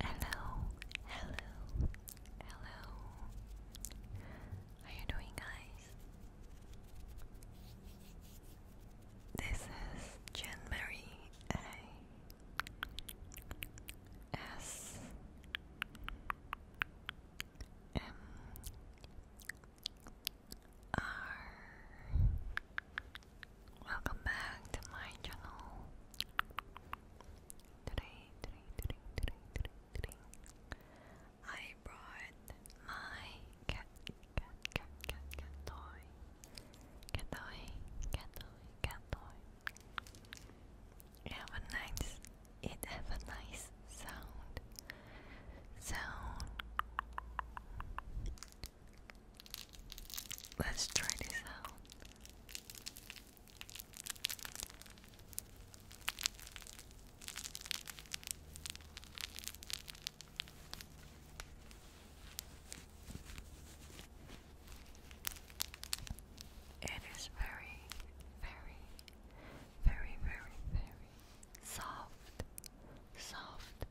Hello, hello, hello. How are you doing, guys? This is Jen A S M R Welcome back to my channel. Today, today, today, today, today, today, I brought my cat, cat, cat, cat, cat toy. Cat toy, cat toy, cat toy. It have a nice, it have a nice sound. Sound. Let's try this out. It is very, very, very, very, very soft, soft,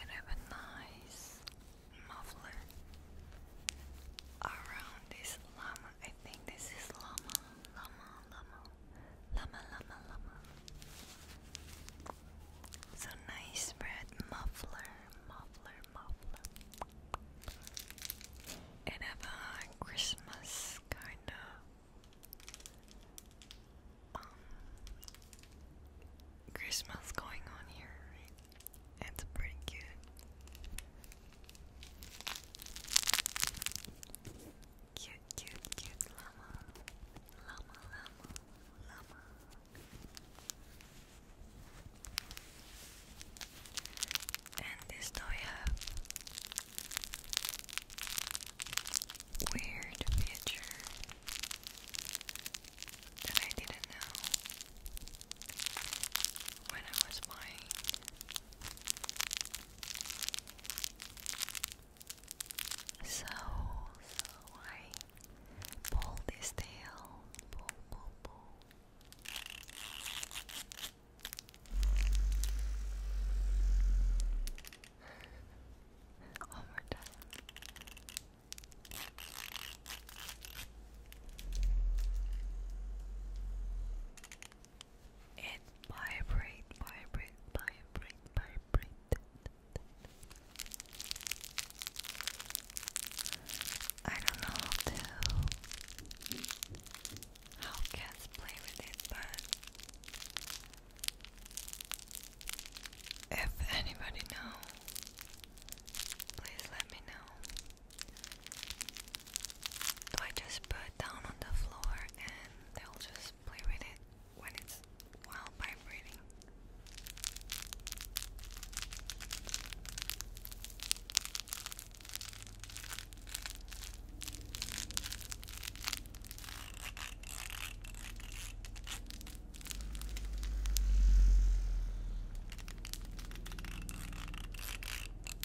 And I nice muffler around this llama. I think this is llama, llama, llama, llama, llama, llama. So nice red muffler, muffler, muffler. And have a Christmas kind of um, Christmas going on here, right? It's pretty cute. Cute, cute, cute llama. Llama, llama, llama. And this toy have weird feature that I didn't know when I was buying. So, so I pulled this tail, pull, pull, pull. One more time. It vibrate, vibrate, vibrate, vibrate. I don't know how to how cats play with it, but if anybody know, please let me know. Do I just put down on the floor and they'll just play with it when it's while vibrating?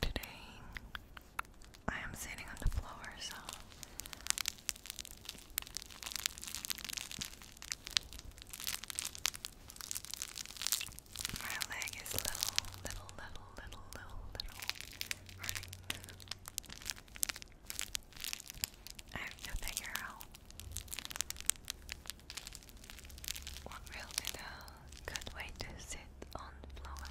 Today, I am sitting on the floor, so my leg is little, little, little, little, little, little hurting. I have to figure out what will be the good way to sit on floor?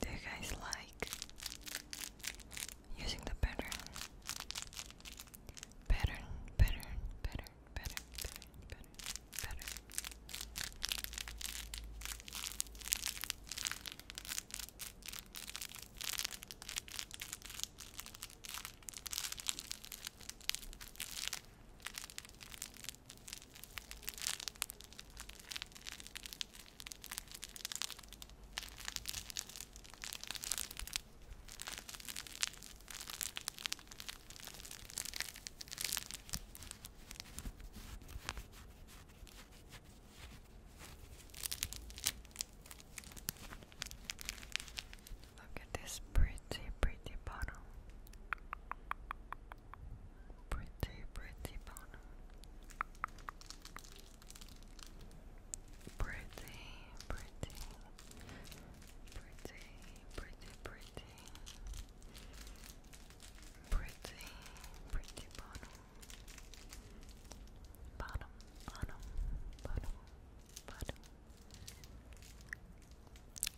Do you guys like using the pattern? Pattern, pattern, pattern, pattern, pattern, pattern, pattern. Look at this pretty pretty, pretty bottom. Pretty, pretty bottom. Pretty, pretty, pretty, pretty, pretty, pretty, pretty bottom. Bottom, bottom, bottom, bottom.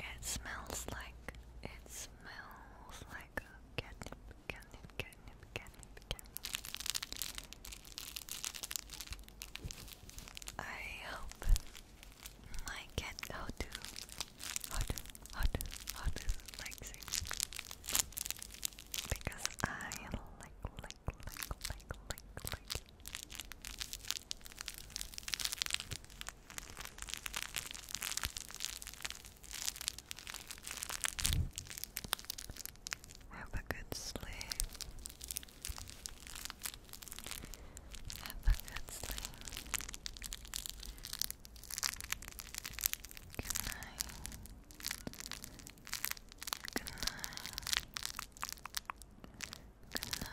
It smells like it smells like a catnip, catnip, begin. I hope I can how to how to how to how to like sing because I like like like like like like have a good sleep. Have a good sleep. Good night. Good night. Good night. Good night.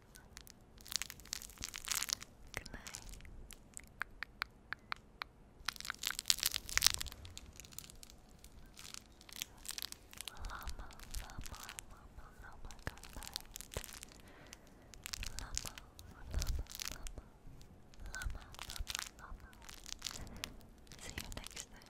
Good Llama, llama, llama, llama, good llama, llama, llama, llama, llama. See you next time.